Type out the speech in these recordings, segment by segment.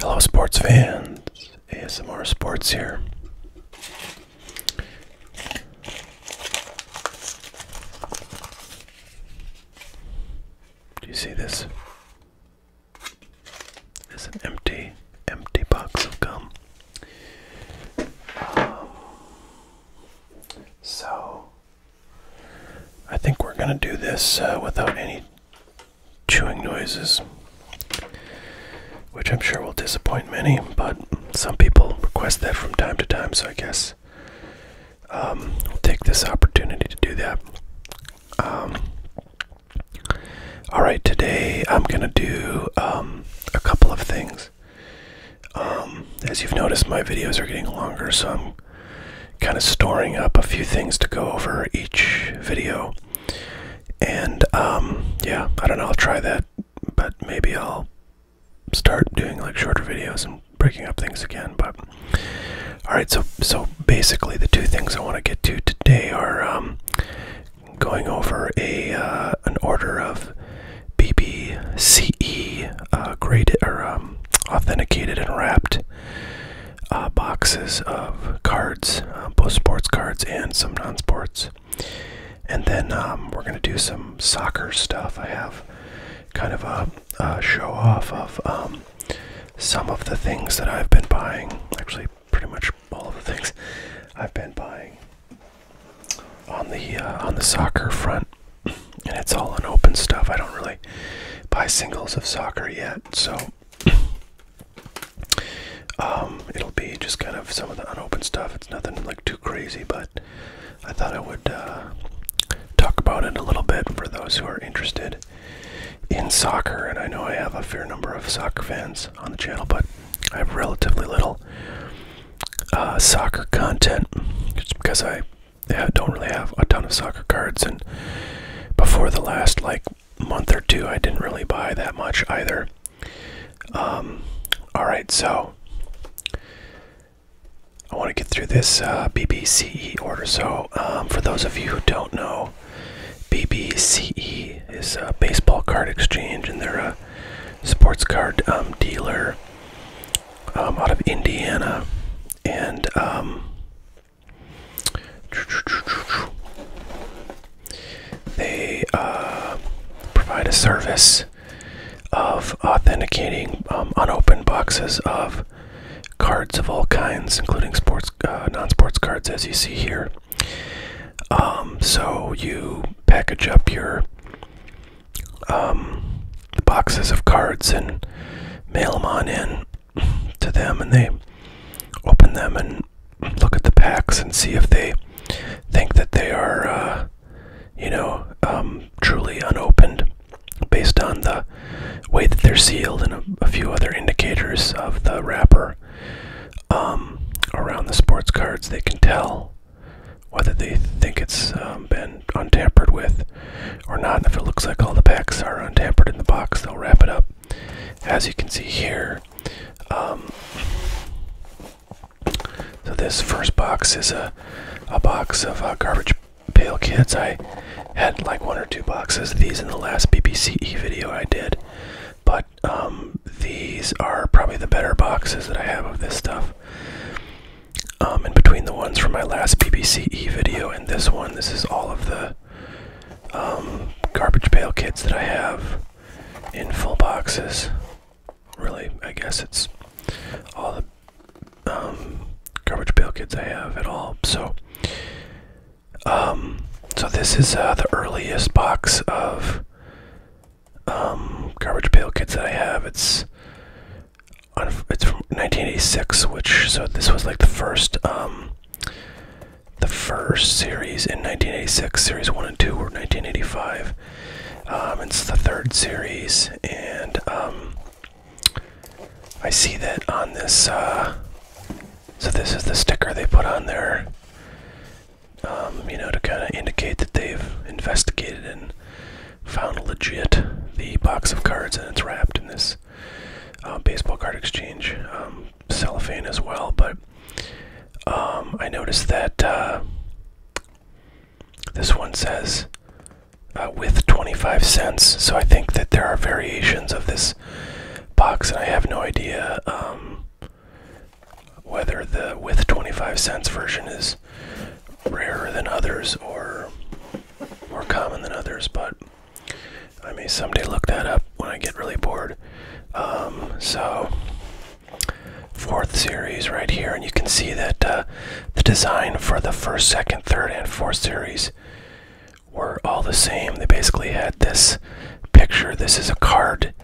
Hello, sports fans. ASMR Sports here. Do you see this? It's an empty, empty box of gum. Um, so, I think we're going to do this uh, without any chewing noises, which I'm sure will disappoint many, but some people request that from time to time, so I guess um, we'll take this opportunity to do that. Um, Alright, today I'm going to do um, a couple of things. Um, as you've noticed, my videos are getting longer, so I'm kind of storing up a few things to go over each video. And um, yeah, I don't know, I'll try that, but maybe I'll start doing like shorter videos and breaking up things again. But all right, so so basically the two things I want to get to today are um, going over a uh, an order of BBCE uh, graded or um, authenticated and wrapped uh, boxes of cards, uh, both sports cards and some non sports. And then um, we're going to do some soccer stuff. I have kind of a, show off of um, some of the things that I've been buying. Actually, pretty much all of the things I've been buying on the uh, on the soccer front. And it's all unopened stuff. I don't really buy singles of soccer yet, so um, it'll be just kind of some of the unopened stuff. It's nothing like too crazy, but I thought I would uh, talk about it a little bit for those who are interested in soccer. And I know I have a fair number of soccer fans on the channel, but I have relatively little uh, soccer content just because I I don't really have a ton of soccer cards. And before the last like month or two, I didn't really buy that much either. Um, all right, so I want to get through this uh, BBCE order. So, um, for those of you who don't know, BBCE is a baseball card exchange, and they're a sports card um, dealer. Um, out of Indiana, and um, they uh, provide a service of authenticating um, unopened boxes of cards of all kinds, including sports, uh, non-sports cards, as you see here. so you package up your boxes of cards and mail them on in to them, and they open them and look at the packs and see if they think that they are, uh, you know, um, truly unopened based on the way that they're sealed and a, few other indicators of the wrapper um, around the sports cards. They can tell whether they think it's um, been untampered with or not. if it looks like all the packs are untampered in the box, they'll wrap it up. As you can see here, um, so this first box is a, a box of uh, garbage pail kids. I had like one or two boxes of these in the last BBCE video I did, but um, these are probably the better boxes that I have of this stuff. Um, in between the ones from my last BBC E video and this one, this is all of the um, garbage pail kits that I have in full boxes. Really, I guess it's all the um, garbage pail kits I have at all. So, so this is uh, the earliest box of garbage pail kits that I have. It's it's from 1986, which so this was like the first um, the first series in 1986. Series one and two were 1985. Um, it's the third series, and um, I see that on this. Uh, so this is the sticker they put on there, you know, to kind of indicate that they've investigated and found legit the box of cards and it's wrapped in this um, baseball card exchange um, cellophane as well. But um, I noticed that uh, this one says uh, with 25 cents. So I think that there are variations of this box, and I have no idea whether the with 25 cents version is rarer than others or more common than others, but I may someday look that up when I get really bored. Um, so, fourth series right here, and you can see that uh, the design for the first, second, third, and fourth series were all the same. They basically had this picture. This is a card,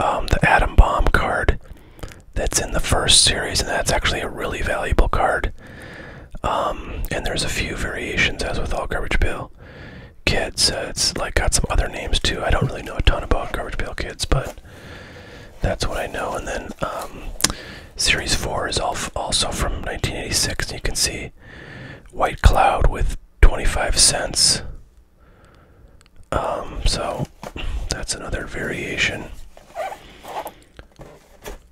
um, the atom bomb card, that's in the first series, and that's actually a really valuable card. Um, and there's a few variations, as with all Garbage Pail Kids. Uh, it's like got some other names too. I don't really know a ton about Garbage Pail Kids, but that's what I know. And then um, Series 4 is also from 1986, and you can see White Cloud with 25 cents. Um, so that's another variation.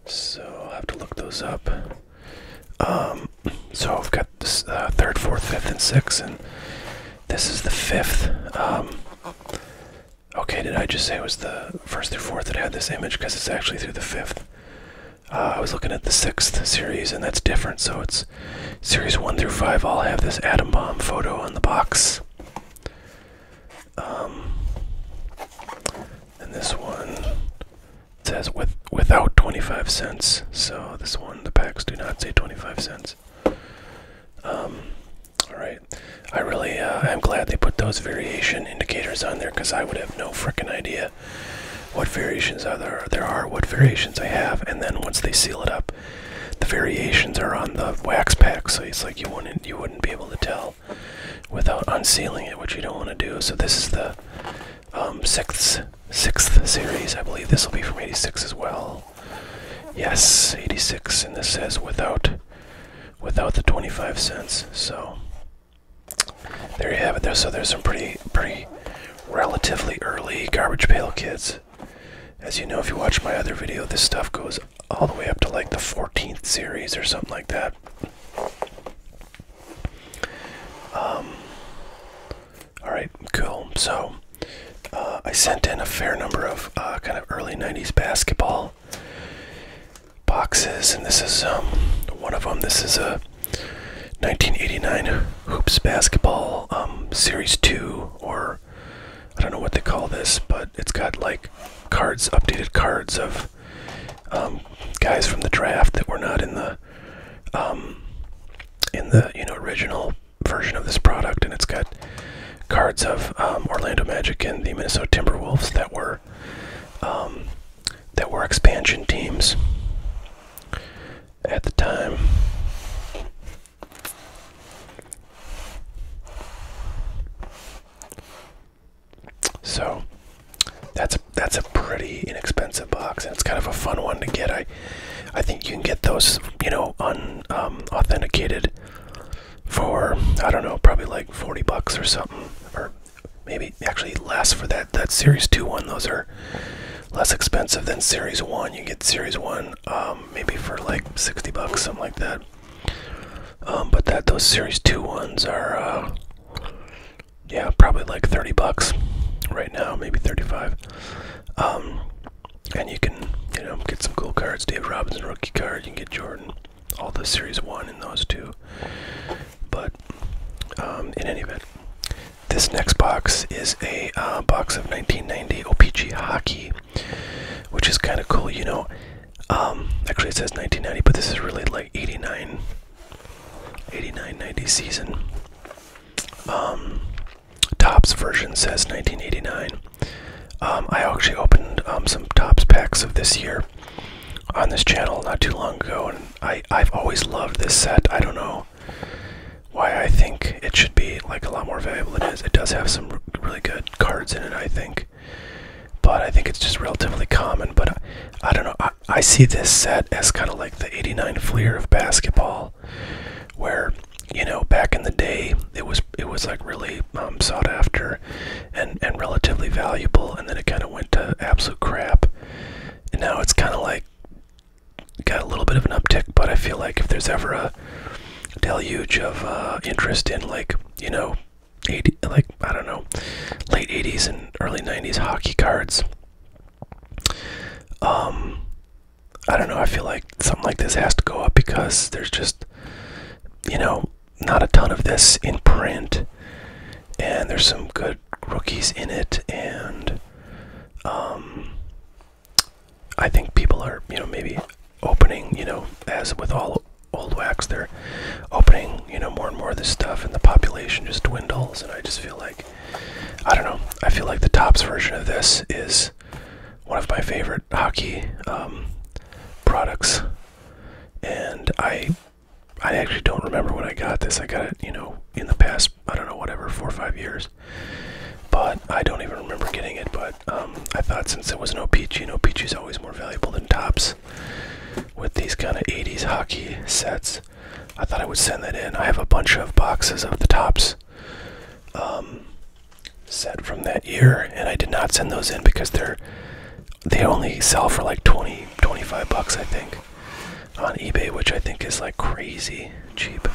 So i have to look those up. Um, so I've got this uh, third, fourth, fifth, and sixth, and this is the fifth. Um, okay, did I just say it was the first through fourth that had this image? Because it's actually through the fifth. Uh, I was looking at the sixth series, and that's different. So it's series one through 5 all have this atom bomb photo on the box. Um, and this one says with without 25 cents. So this one, the packs do not say 25 cents. Um, all right. I really uh, i am glad they put those variation indicators on there because I would have no frickin' idea what variations are there, are, what variations I have, and then once they seal it up, the variations are on the wax pack. So it's like you wouldn't you would be able to tell without unsealing it, which you don't want to do. So this is the um, sixth sixth series. I believe this will be from 86 as well. Yes, 86, and this says without without the 25 cents. So there you have it. There, so there's some pretty pretty relatively early garbage pail kits. As you know, if you watch my other video, this stuff goes all the way up to like the 14th series or something like that. Um, Alright, cool. So, uh, I sent in a fair number of uh, kind of early 90s basketball boxes, and this is um, one of them. This is a 1989 Hoops Basketball um, Series 2, or I don't know what they call this, but it's got like cards, updated cards of um, guys from the draft that were not in the um, in the you know original version of this product, and it's got cards of um, Orlando Magic and the Minnesota Timberwolves that were that were expansion teams at the time. So that's that's a pretty inexpensive box, and it's kind of a fun one to get. I I think you can get those, you know, unauthenticated um, for I don't know, probably like forty bucks or something, or maybe actually less for that that Series Two one. Those are less expensive than Series One. You get Series One um, maybe for like sixty bucks, something like that. Um, but that those Series 2 ones are, uh, yeah, probably like 30 bucks right now, maybe 35. Um, and you can, you know, get some cool cards. Dave Robinson rookie card. You can get Jordan. All the Series 1 and those two. But um, in any event, this next box is a uh, box of 1990 OPG Hockey which is kind of cool, you know. Um, actually, it says 1990, but this is really like 89, 89, 90 season. Um, Tops version says 1989. Um, I actually opened um, some Tops packs of this year on this channel not too long ago, and I I've always loved this set. I don't know why I think it should be like a lot more valuable than it is. It does have some really good cards in it, I think. But I think it's just relatively common. But I, don't know. I, I see this set as kind of like the 89 Fleer of basketball, where you know back in the day it was it was like really um, sought after and and relatively valuable, and then it kind of went to absolute crap. And now it's kind of like got a little bit of an uptick, but I feel like if there's ever a deluge of interest in like you know 80 like i don't know late 80s and early 90s hockey cards um i don't know i feel like something like this has to go up because there's just you know not a ton of this in print and there's some good rookies in it and um I think people are, you know, maybe opening, you know, as with all old wax, they're opening, you know, more and more of this stuff, and the population just dwindles. And I just feel like, I don't know, I feel like the tops version of this is one of my favorite hockey um, products, and I. I actually don't remember when I got this. I got it, you know, in the past, I don't know, whatever, four or five years. But I don't even remember getting it. But um, I thought since it was an OPG, and OPG is always more valuable than tops with these kind of 80s hockey sets, I thought I would send that in. I have a bunch of boxes of the tops um, set from that year, and I did not send those in because they're they only sell for like 20, 25 bucks, I think, on eBay, which I think is like crazy cheap.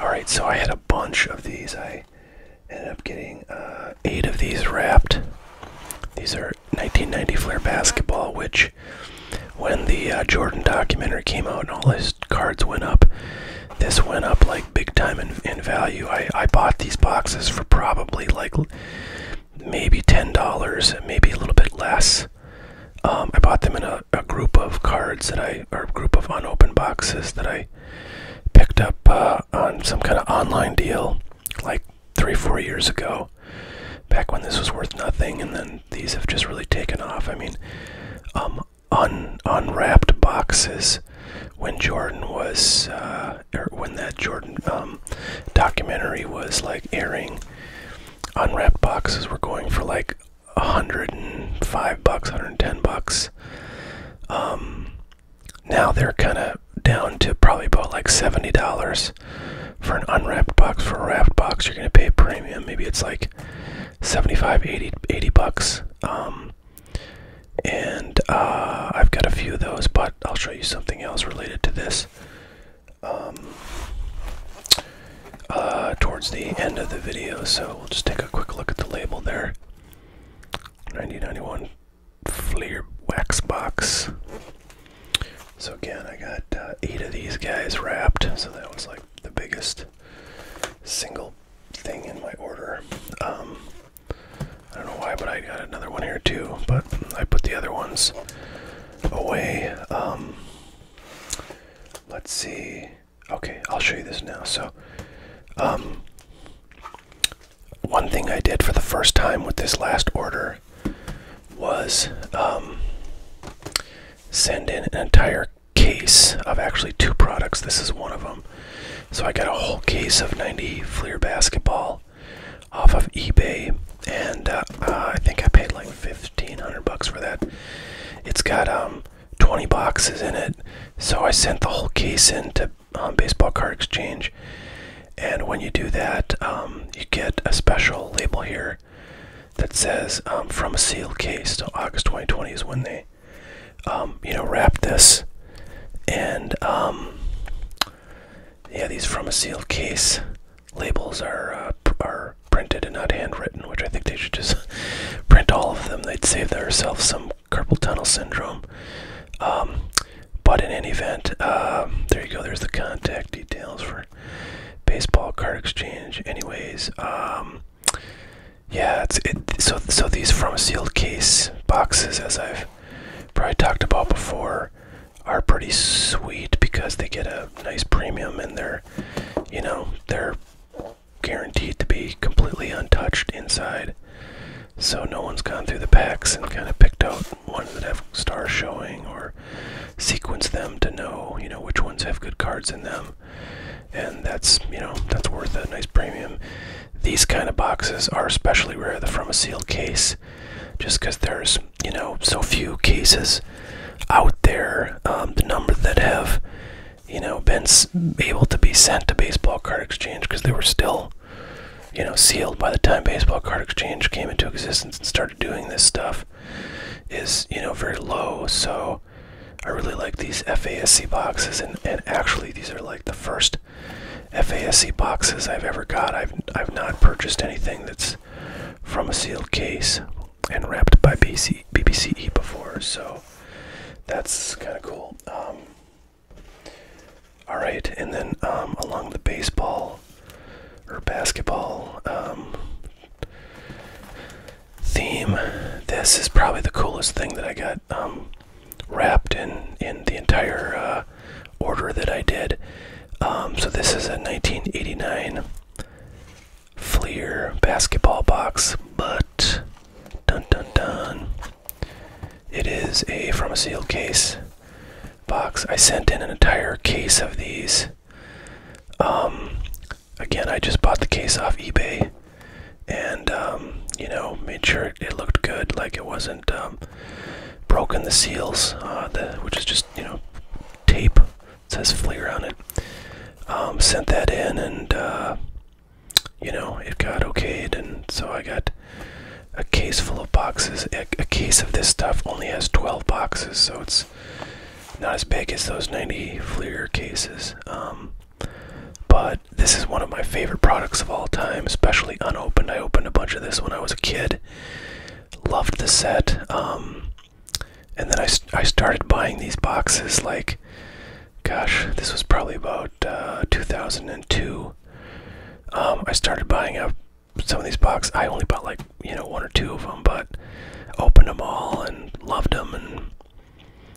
Alright, so I had a bunch of these. I ended up getting uh, eight of these wrapped. These are 1990 Flair basketball, which when the uh, Jordan documentary came out and all his cards went up, this went up like big time in, in value. I, I bought these boxes for probably like maybe $10, maybe a little bit less. Um, I bought them in a a, group of cards that I, or a group of unopened boxes that I picked up uh, on some kind of online deal like three, four years ago, back when this was worth nothing, and then these have just really taken off. I mean, um, un unwrapped boxes when Jordan was, or uh, er, when that Jordan um, documentary was like airing, unwrapped boxes were going for like 105 bucks, 110 bucks. Um, now they're kind of down to probably about like $70 for an unwrapped box. For a wrapped box, you're going to pay a premium. Maybe it's like 75, 80, 80 bucks. Um, and uh, I've got a few of those, but I'll show you something else related to this. Um, uh, towards the end of the video, so we'll just take a quick look at the label there. 9091 Fleer Wax Box. So again, I got uh, eight of these guys wrapped, so that was like the biggest single thing in my order. Um, I don't know why, but I got another one here too, but I put the other ones away. Um, let's see. Okay, I'll show you this now. So, um, one thing I did for the first time with this last order was um, send in an entire case of actually two products. This is one of them. So I got a whole case of 90 Fleer basketball off of eBay, and uh, I think I paid like 1500 bucks for that. It's got um, 20 boxes in it. So I sent the whole case in to um, Baseball Card Exchange. And when you do that, um, you get a special label here that says um, from a sealed case. So August 2020 is when they, you know, wrapped this. And yeah, these from a sealed case labels are uh, are printed and not handwritten, which I think they should just print all of them. They'd save themselves some carpal tunnel syndrome. Um, but in any event, um, there you go. There's the contact details for baseball card exchange. Anyways, um, yeah, it's So so these from sealed case boxes, as I've probably talked about before, are pretty sweet because they get a nice premium and they're, you know, they're guaranteed to be completely untouched inside. So no one's gone through the packs and kind of picked out ones that have stars showing or sequenced them to know, you know, which ones have good cards in them. And that's, you know, that's worth a nice premium. These kind of boxes are especially rare, they from a sealed case, just because there's, you know, so few cases out there, um, the number that have, you know, been able to be sent to Baseball Card Exchange because they were still, you know, sealed by the time Baseball Card Exchange came into existence and started doing this stuff, is you know very low. So I really like these FASC boxes, and and actually these are like the first. FASC boxes I've ever got. I've I've not purchased anything that's from a sealed case and wrapped by BC, BBCE before, so that's kind of cool. Um, all right, and then um, along the baseball or basketball um, theme, this is probably the coolest thing that I got wrapped in in the entire uh, order that I did. so this is a 1989 Fleer basketball box, but dun dun dun. It is a from a sealed case box. I sent in an entire case of these. Um, again, I just bought the case off eBay, and um, you know, made sure it, it looked good, like it wasn't um, broken the seals, uh, the, which is just you know tape says Fleer on it. Um, sent that in and, uh, you know, it got okayed. And so I got a case full of boxes. A, case of this stuff only has 12 boxes, so it's not as big as those 90 Fleer cases. Um, but this is one of my favorite products of all time, especially unopened. I opened a bunch of this when I was a kid. Loved the set. Um, and then I, I started buying these boxes like, gosh, this was probably about uh, 2002. Um, I started buying up some of these boxes. I only bought like, you know, one or two of them, but opened them all and loved them. And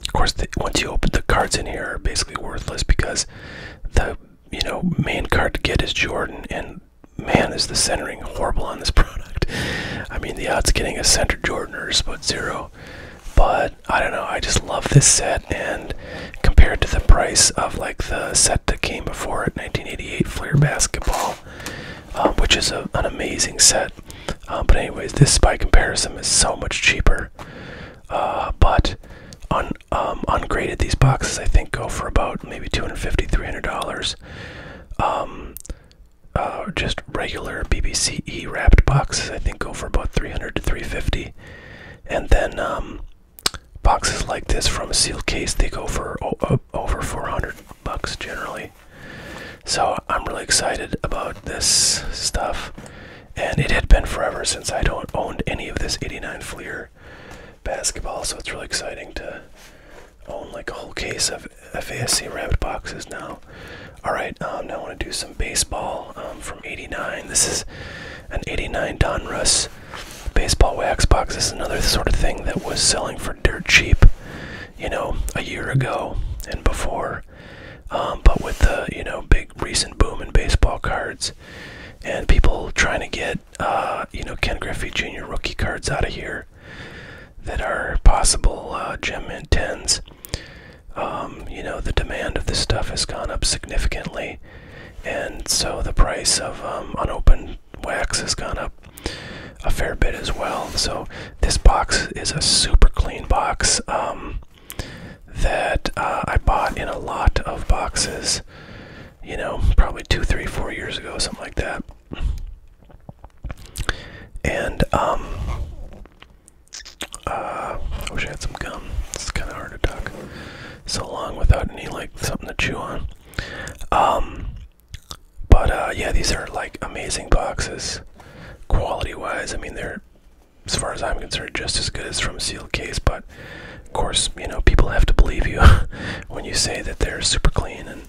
of course, once you open the cards in here are basically worthless because the, you know, main card to get is Jordan and man, is the centering horrible on this product. I mean, the odds getting a center Jordan are about zero. But I don't know, I just love this set, and compared to the price of like the set that came before it, 1988 Flair Basketball, um, which is an amazing set. Um, but anyways, this by comparison is so much cheaper. Uh, but un, um, ungraded, these boxes I think go for about maybe 250 300 dollars. Uh, just regular BBCE wrapped boxes, I think go for about 300 to 350. And then um, boxes like this from Seal case, they go for over 400 bucks generally. So I'm really excited about this stuff. And it had been forever since I don't owned any of this 89 Fleer basketball, so it's really exciting to own like a whole case of FASC wrapped boxes now. All right, um, now I want to do some baseball um, from '89. This is an '89 Donruss baseball wax box. This is another sort of thing that was selling for dirt cheap, you know, a year ago and before. Um, but with the you know big recent boom in baseball cards and people trying to get uh, you know Ken Griffey Jr. rookie cards out of here that are possible uh, gem intents. Um, you know, the demand of this stuff has gone up significantly, and so the price of um, unopened wax has gone up a fair bit as well. So this box is a super clean box um, that uh, I bought in a lot of boxes. You know, probably two, three, four years ago, something like that. And um uh, I wish I had some gum. It's kinda hard to talk so long without any like something to chew on. Um but uh, yeah these are like amazing boxes quality wise. I mean they're as far as I'm concerned just as good as from sealed case, but of course, you know, people have to believe you when you say that they're super clean and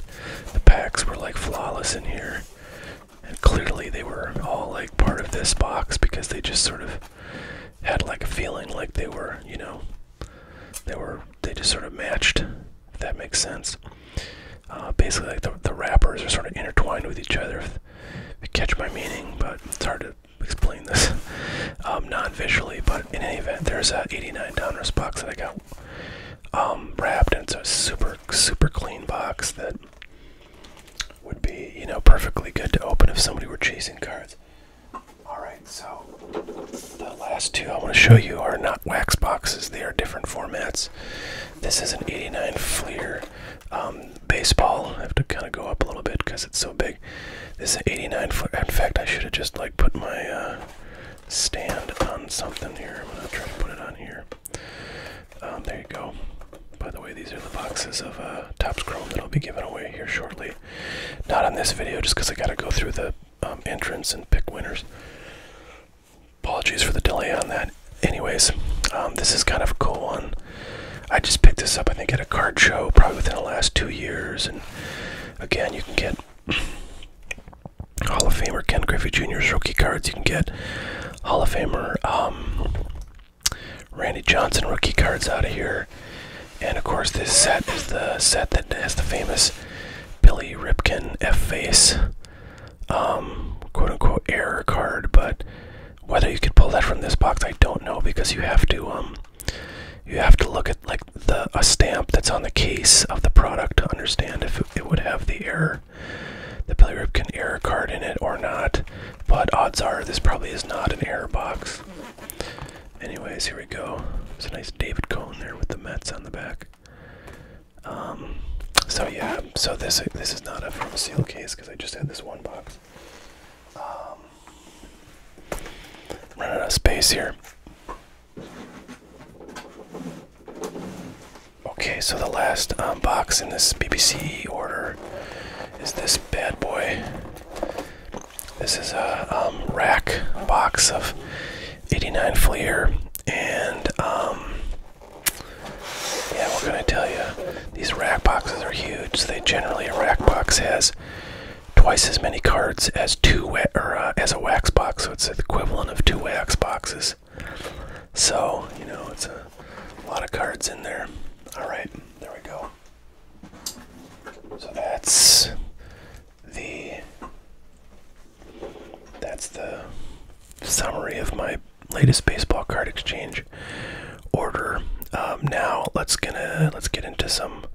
the packs were like flawless in here. And clearly they were all like part of this box because they just sort of had like a feeling like they were, you know, they were, they just sort of matched, if that makes sense. Uh, basically, like the, wrappers are sort of intertwined with each other, catch my meaning, but it's hard to explain this um, non visually. But in any event, there's a 89 dollars box that I got um, wrapped into a super, super clean box that would be, you know, perfectly good to open if somebody were chasing cards. Alright, so the last two I want to show you are not wax boxes, they are different formats. This is an 89 Fleer um, baseball. I have to kind of go up a little bit because it's so big. This is an 89 Fleer. In fact, I should have just like put my. Uh, stand on something here. I'm gonna try to put it on here. Um, there you go. By the way, these are the boxes of uh, Topps Chrome that I'll be giving away here shortly. Not on this video, just because I gotta go through the um, entrance and pick winners. Apologies for the delay on that. Anyways, um, this is kind of a cool one. I just picked this up, I think, at a card show, probably within the last two years. And again, you can get Hall of Famer Ken Griffey Jr.'s rookie cards you can get. Hall of Famer um, Randy Johnson rookie cards out of here. And of course, this set is the set that has the famous Billy Ripken F face um, quote unquote error card. But whether you could pull that from this box, I don't know because you have to um, you have to look at like a stamp that's on the case of the product to understand if it would have the error the bilirubin error card in it or not but odds are this probably is not an error box anyways here we go It's a nice david cone there with the mets on the back um, so yeah so this this is not a from seal case because i just had this one box um running out of space here Okay, so the last um, box in this BBC order is this bad boy. This is a um, rack box of 89 Fleer, and um, yeah, what can I tell you? These rack boxes are huge. They generally a rack box has twice as many cards as two or uh, as a wax box, so it's the equivalent of two wax boxes. So you know it's a lot of cards in there. All right, there we go. So that's the that's the summary of my latest baseball card exchange order. Um, now let's gonna let's get into some